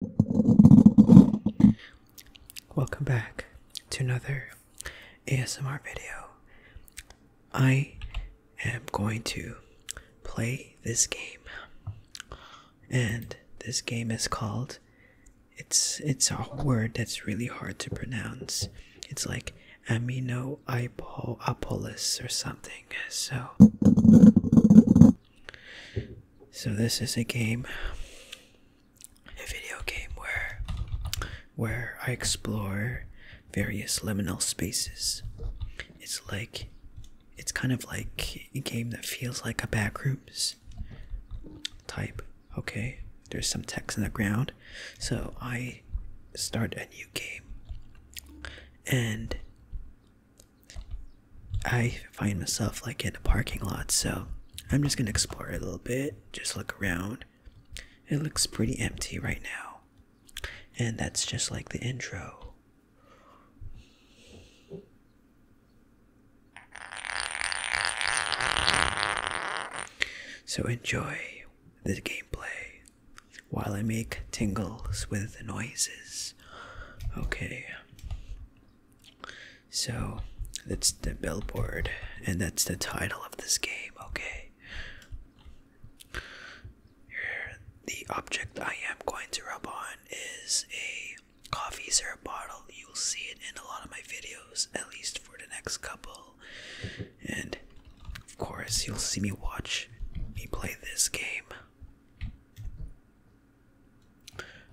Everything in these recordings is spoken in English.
Welcome back to another ASMR video. I am going to play this game. And this game is called it's it's a word that's really hard to pronounce. It's like amino aminoapolis or something. So so this is a game, a video game where where I explore various liminal spaces. It's like it's kind of like a game that feels like a backrooms type. Okay, there's some text in the ground. So I start a new game and I find myself like in a parking lot, so I'm just gonna explore a little bit, just look around. It looks pretty empty right now, and that's just like the intro. So enjoy the gameplay while I make tingles with noises. Okay. So that's the billboard, and that's the title of this game, okay? Here, the object I am going to rub on is a coffee syrup bottle. You'll see it in a lot of my videos, at least for the next couple. And of course, you'll see me watch me play this game.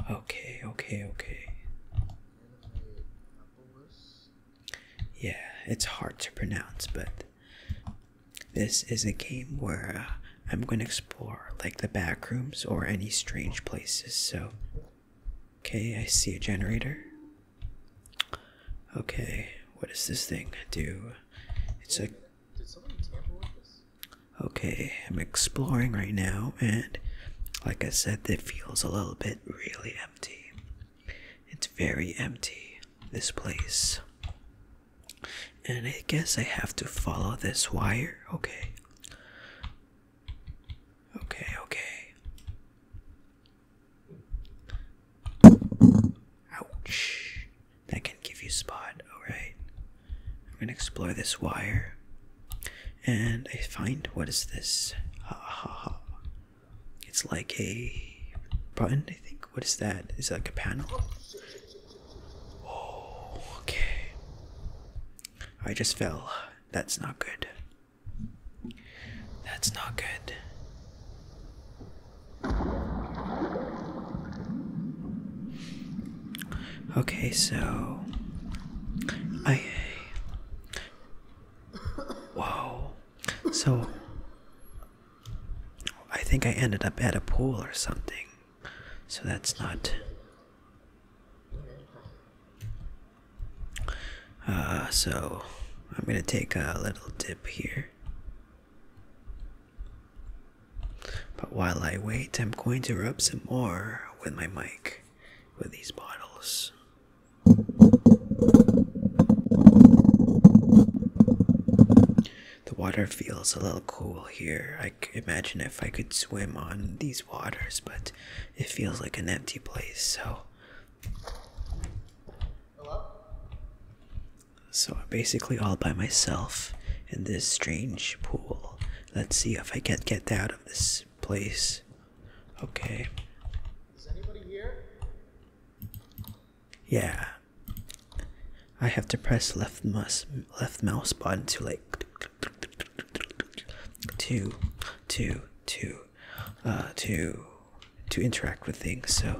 Okay, okay, okay. Yeah, it's hard to pronounce, but this is a game where uh, I'm going to explore like the back rooms or any strange places. So, okay, I see a generator. Okay, what does this thing do? It's a did somebody tamper with this? Okay, I'm exploring right now, and like I said, it feels a little bit really empty. It's very empty, this place. And I guess I have to follow this wire. Okay. Okay, okay. Ouch that can give you spot. Alright, I'm gonna explore this wire and I find what is this? Ha ha ha. It's like a button, I think. What is that? Is that like a panel? Oh, okay. I just fell. That's not good. That's not good. Okay, so I Whoa. So I think I ended up at a pool or something. So that's not uh so I'm gonna take a little dip here. But while I wait, I'm going to rub some more with my mic with these bottles. The water feels a little cool here. I imagine if I could swim on these waters, but it feels like an empty place, so. Hello? So I'm basically all by myself in this strange pool. Let's see if I can get out of this place. Okay. Is anybody here? Yeah. I have to press left mouse left mouse button to like to to to uh to to interact with things so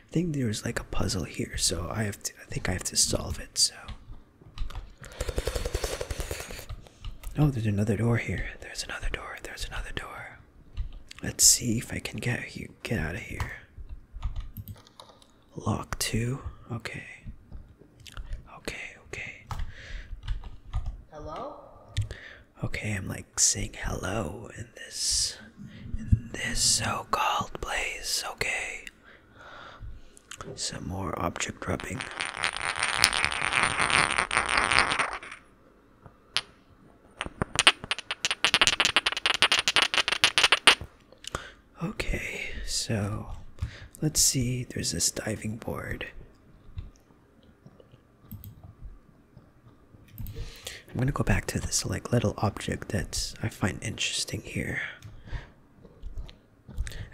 I think there's like a puzzle here, so I have to. I think I have to solve it. So. Oh, there's another door here. There's another door. There's another door. Let's see if I can get you Get out of here. Lock two. Okay. Okay. Okay. Hello. Okay, I'm like saying hello in this in this so-called place, okay? Some more object rubbing. Okay, so let's see, there's this diving board. I'm gonna go back to this like little object that I find interesting here.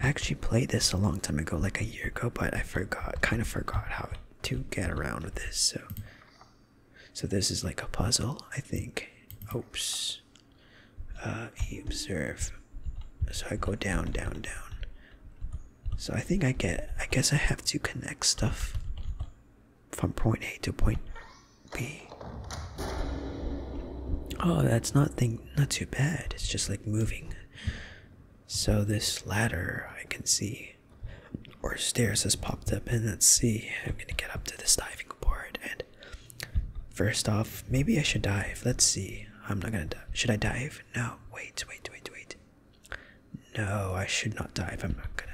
I actually played this a long time ago, like a year ago, but I forgot, kind of forgot how to get around with this. So, so this is like a puzzle, I think. Oops. Uh, observe. So I go down, down, down. So I think I get. I guess I have to connect stuff from point A to point B. Oh, that's not thing not too bad. It's just like moving. So this ladder I can see or stairs has popped up and let's see. I'm gonna get up to this diving board and first off maybe I should dive. Let's see. I'm not gonna dive. Should I dive? No. Wait, wait, wait, wait. No, I should not dive. I'm not gonna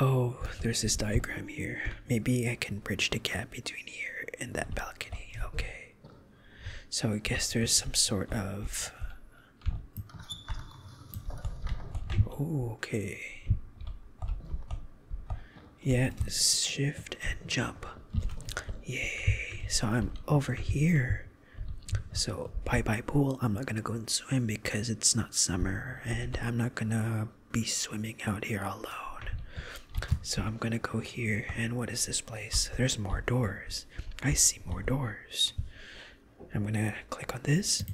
Oh, there's this diagram here. Maybe I can bridge the gap between here and that balcony. Okay. So I guess there's some sort of. okay. Yeah, shift and jump. Yay. So I'm over here. So, bye bye pool. I'm not gonna go and swim because it's not summer and I'm not gonna be swimming out here alone. So, I'm gonna go here. And what is this place? There's more doors. I see more doors. I'm gonna click on this.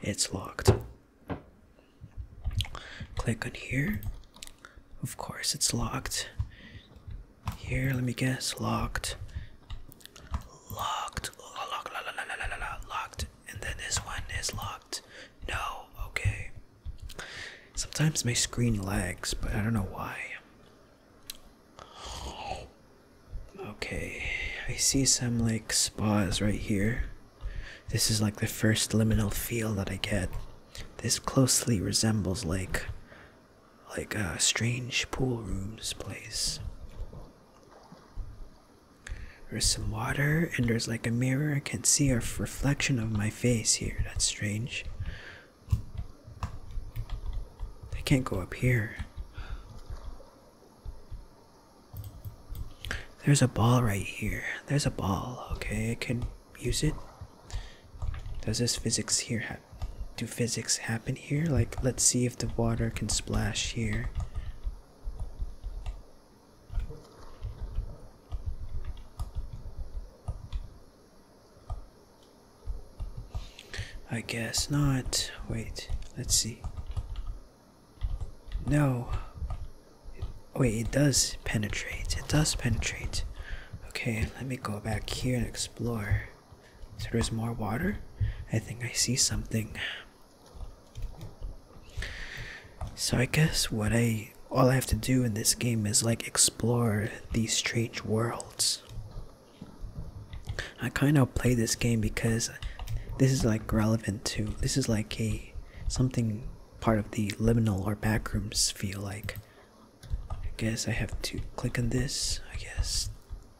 It's locked. Click on here. Of course, it's locked. Here, let me guess. Locked. Locked. Locked. Locked. And then this one is locked. No. Okay. Sometimes my screen lags, but I don't know why. Okay. I see some like spas right here. This is like the first liminal feel that I get. This closely resembles like like a strange pool rooms place. There's some water, and there's like a mirror. I can see a reflection of my face here. That's strange. I can't go up here. There's a ball right here. There's a ball. Okay, I can use it. Does this physics here have? do physics happen here? Like, let's see if the water can splash here. I guess not. Wait, let's see. No. Wait, it does penetrate. It does penetrate. Okay, let me go back here and explore. So there's more water. I think I see something. So I guess what I all I have to do in this game is like explore these strange worlds. I kind of play this game because this is like relevant to this is like a something part of the liminal or backrooms feel like I guess I have to click on this. I guess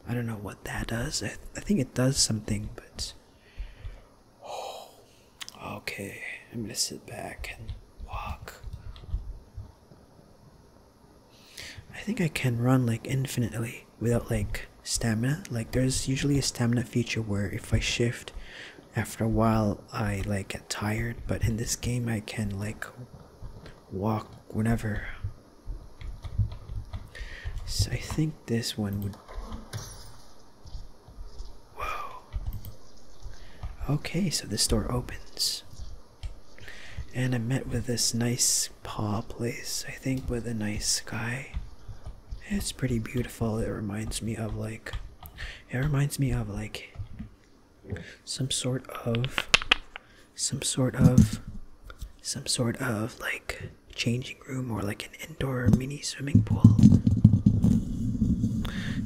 I don't know what that does. I, I think it does something, but okay. I'm gonna sit back and walk. I think I can run like infinitely without like stamina. Like there's usually a stamina feature where if I shift after a while I like get tired, but in this game I can like walk whenever. So I think this one would. Whoa. Okay, so this door opens. And I met with this nice paw place, I think, with a nice sky. It's pretty beautiful. It reminds me of like. It reminds me of like some sort of some sort of some sort of like changing room or like an indoor mini swimming pool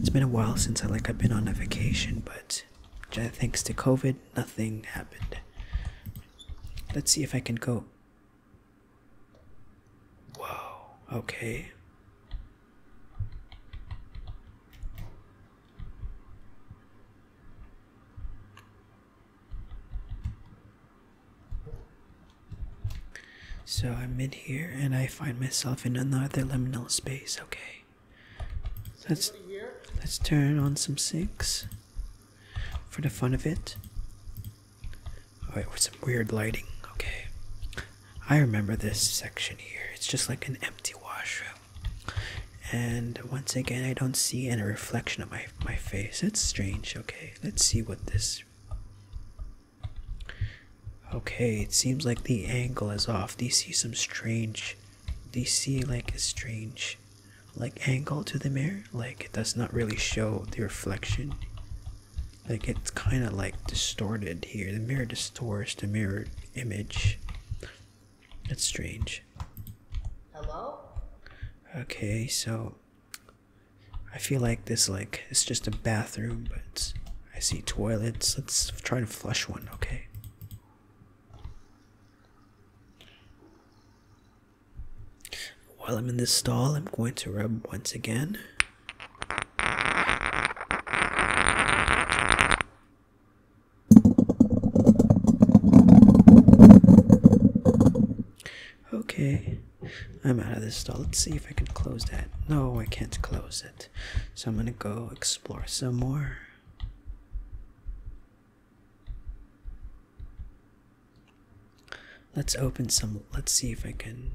it's been a while since i like i've been on a vacation but thanks to covid nothing happened let's see if i can go whoa okay so I'm in here and I find myself in another liminal space. Okay. Let's let's turn on some sinks for the fun of it. Oh with some weird lighting. Okay. I remember this section here. It's just like an empty washroom and once again i don't see any reflection of my my face it's strange okay let's see what this okay it seems like the angle is off do you see some strange do you see like a strange like angle to the mirror like it does not really show the reflection like it's kind of like distorted here the mirror distorts the mirror image That's strange Hello? Okay, so I feel like this like it's just a bathroom, but I see toilets. Let's try to flush one, okay? While I'm in this stall, I'm going to rub once again. Okay, I'm out of this stall. Let's see if I can close that. No, I can't close it. So I'm gonna go explore some more. Let's open some. Let's see if I can.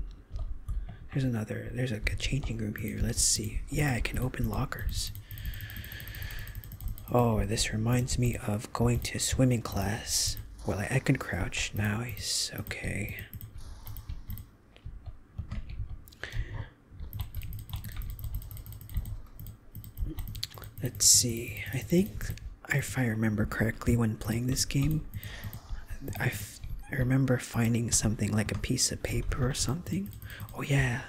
There's another. There's like a changing room here. Let's see. Yeah, I can open lockers. Oh, this reminds me of going to swimming class. Well, I, I can crouch now. He's okay. Let's see. I think, if I remember correctly, when playing this game, I, I remember finding something like a piece of paper or something. Oh, yeah.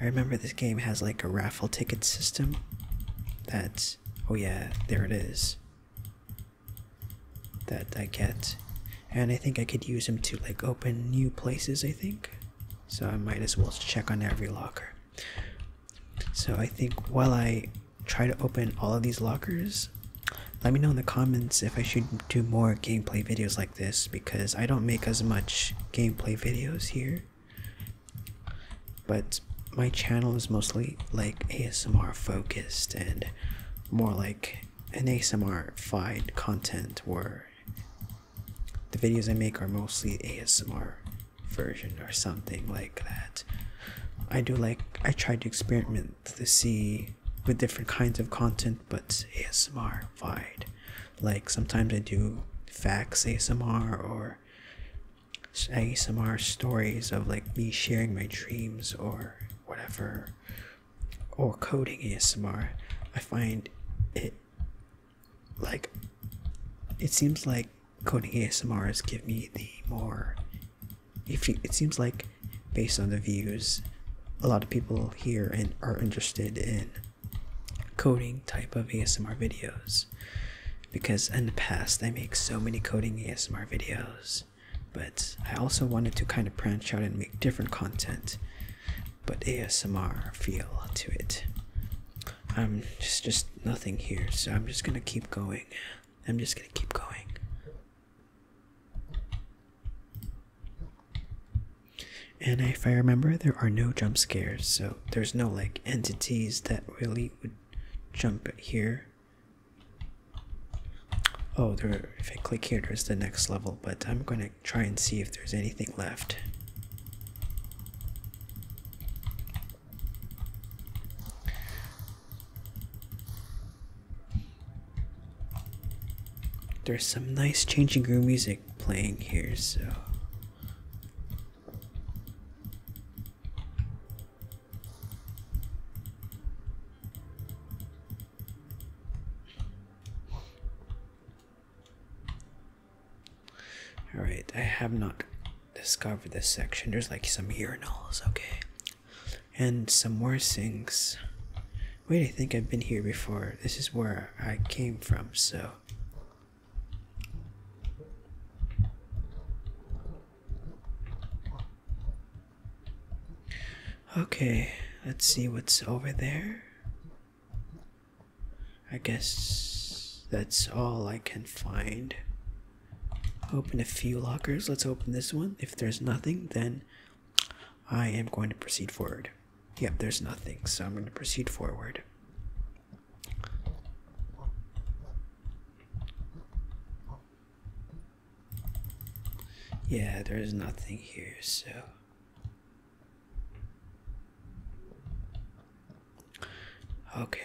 I remember this game has like a raffle ticket system. That's oh yeah, there it is. That I get, and I think I could use them to like open new places. I think, so I might as well check on every locker. So I think while I try to open all of these lockers, let me know in the comments if I should do more gameplay videos like this because I don't make as much gameplay videos here. But my channel is mostly like ASMR focused and more like an ASMR-fied content where the videos I make are mostly ASMR version or something like that. I do like I try to experiment to see with different kinds of content but ASMR-fied like sometimes I do facts ASMR or ASMR stories of like me sharing my dreams or whatever, or coding ASMR. I find it like it seems like coding ASMR has give me the more. If it seems like based on the views, a lot of people here and are interested in coding type of ASMR videos because in the past I make so many coding ASMR videos, but I also wanted to kind of branch out and make different content, but ASMR feel to it. I'm just just nothing here, so I'm just gonna keep going. I'm just gonna keep going. And if I remember, there are no jump scares, so there's no like entities that really would jump here. Oh, there. If I click here, there's the next level, but I'm gonna try and see if there's anything left. There's some nice changing room music playing here, so all right, I have not discovered this section. There's like some urinals, okay, and some more sinks. Wait, I think I've been here before. This is where I came from, so. Okay, let's see what's over there. I guess that's all I can find. Open a few lockers. Let's open this one. If there's nothing, then I am going to proceed forward. Yep, there's nothing, so I'm going to proceed forward. Yeah, there's nothing here, so. Okay.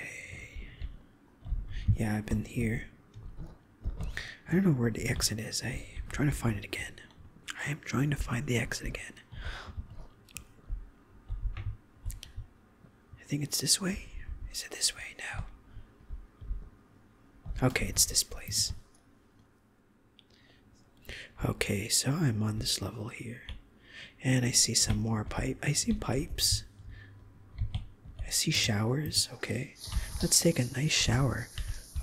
Yeah, I've been here. I don't know where the exit is. I'm trying to find it again. I am trying to find the exit again. I think it's this way. Is it this way now? Okay, it's this place. Okay, so I'm on this level here. And I see some more pipe. I see pipes. I see showers. Okay. Let's take a nice shower.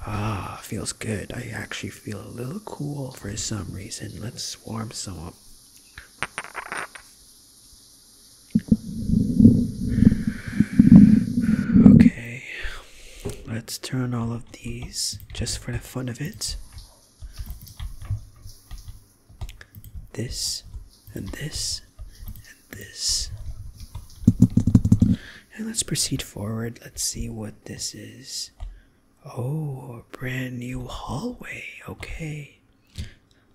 Ah, feels good. I actually feel a little cool for some reason. Let's warm some up. Okay, let's turn all of these just for the fun of it. This and this and this. And let's proceed forward. Let's see what this is. Oh, a brand new hallway. Okay.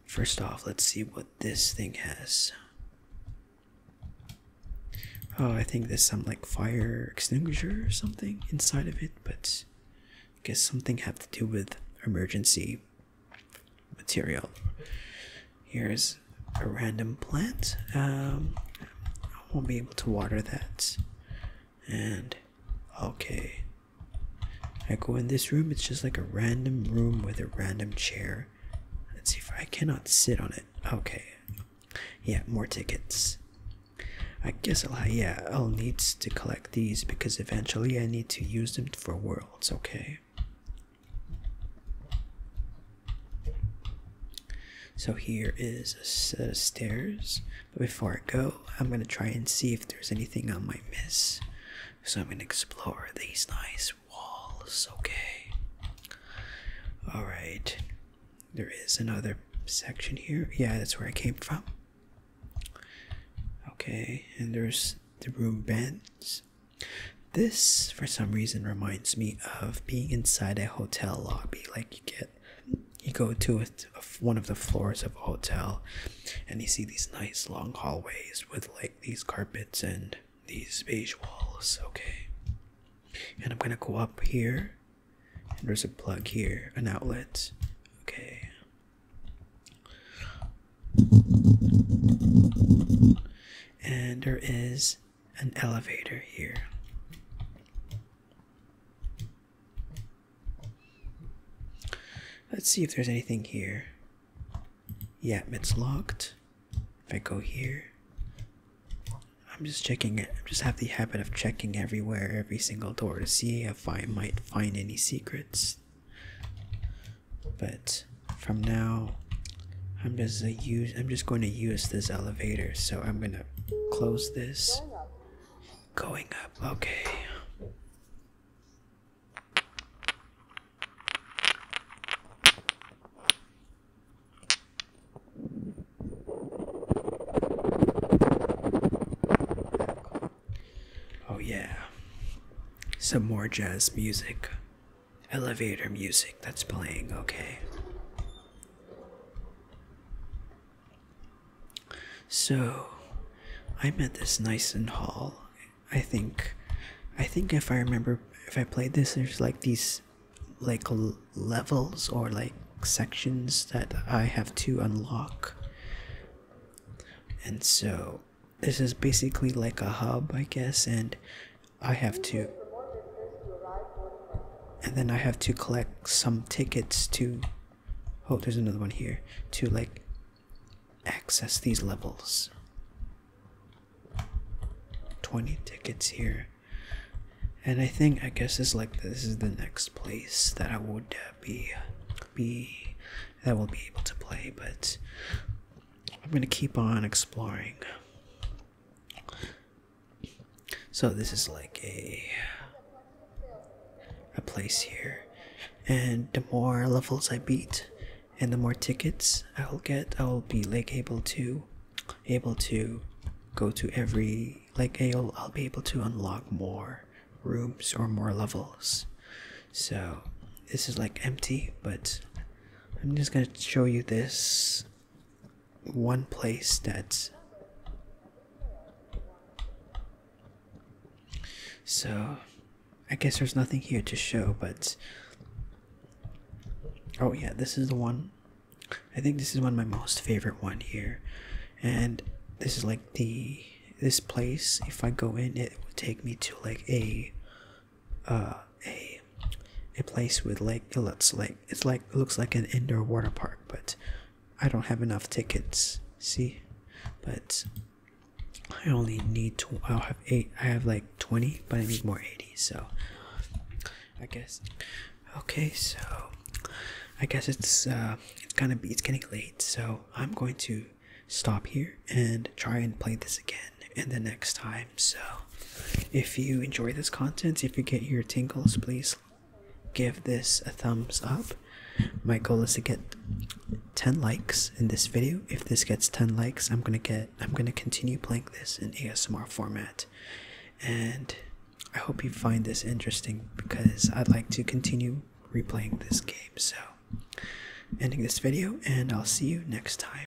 First off, let's see what this thing has. Oh, I think there's some like fire extinguisher or something inside of it, but I guess something have to do with emergency material. Here's a random plant, um, I won't be able to water that. And okay, I go in this room, it's just like a random room with a random chair. Let's see if I cannot sit on it. Okay, yeah, more tickets. I guess I'll, yeah, I'll need to collect these because eventually I need to use them for worlds, okay? So here is a set of stairs. But before I go, I'm going to try and see if there's anything I might miss. So I'm going to explore these nice walls. Okay. Alright. There is another section here. Yeah, that's where I came from. Okay, and there's the room bends. This, for some reason, reminds me of being inside a hotel lobby. Like you get, you go to a, one of the floors of a hotel, and you see these nice long hallways with like these carpets and these beige walls. Okay, and I'm gonna go up here. there's a plug here, an outlet. Okay. And there is an elevator here. Let's see if there's anything here. Yep, yeah, it's locked. If I go here, I'm just checking it. I just have the habit of checking everywhere, every single door to see if I might find any secrets. But from now, I'm just use I'm just going to use this elevator, so I'm gonna close this. Going up okay. Oh yeah. Some more jazz music elevator music that's playing, okay? So, I'm at this Nyson Hall. I think, I think if I remember, if I played this, there's like these, like levels or like sections that I have to unlock. And so, this is basically like a hub, I guess, and I have to and then I have to collect some tickets to oh there's another one here to like access these levels 20 tickets here and I think I guess it's like this is the next place that I would uh, be be that will be able to play but I'm gonna keep on exploring so this is like a a place here, and the more levels I beat, and the more tickets I'll get, I'll be like able to able to go to every like I'll I'll be able to unlock more rooms or more levels. So this is like empty, but I'm just gonna show you this one place that's so I guess there's nothing here to show but oh yeah this is the one I think this is one of my most favorite one here and this is like the this place if I go in it will take me to like a uh, a a place with Lake it looks like it's like it looks like an indoor water park, but I don't have enough tickets. See, but I only need to. I'll have eight. I have like twenty, but I need more eighty. So I guess okay. So I guess it's uh, it's gonna be it's getting late. So I'm going to stop here and try and play this again and the next time. So, if you enjoy this content, if you get your tingles, please give this a thumbs up. My goal is to get 10 likes in this video. If this gets 10 likes, I'm gonna get I'm gonna continue playing this in ASMR format. And I hope you find this interesting because I'd like to continue replaying this game. So ending this video and I'll see you next time.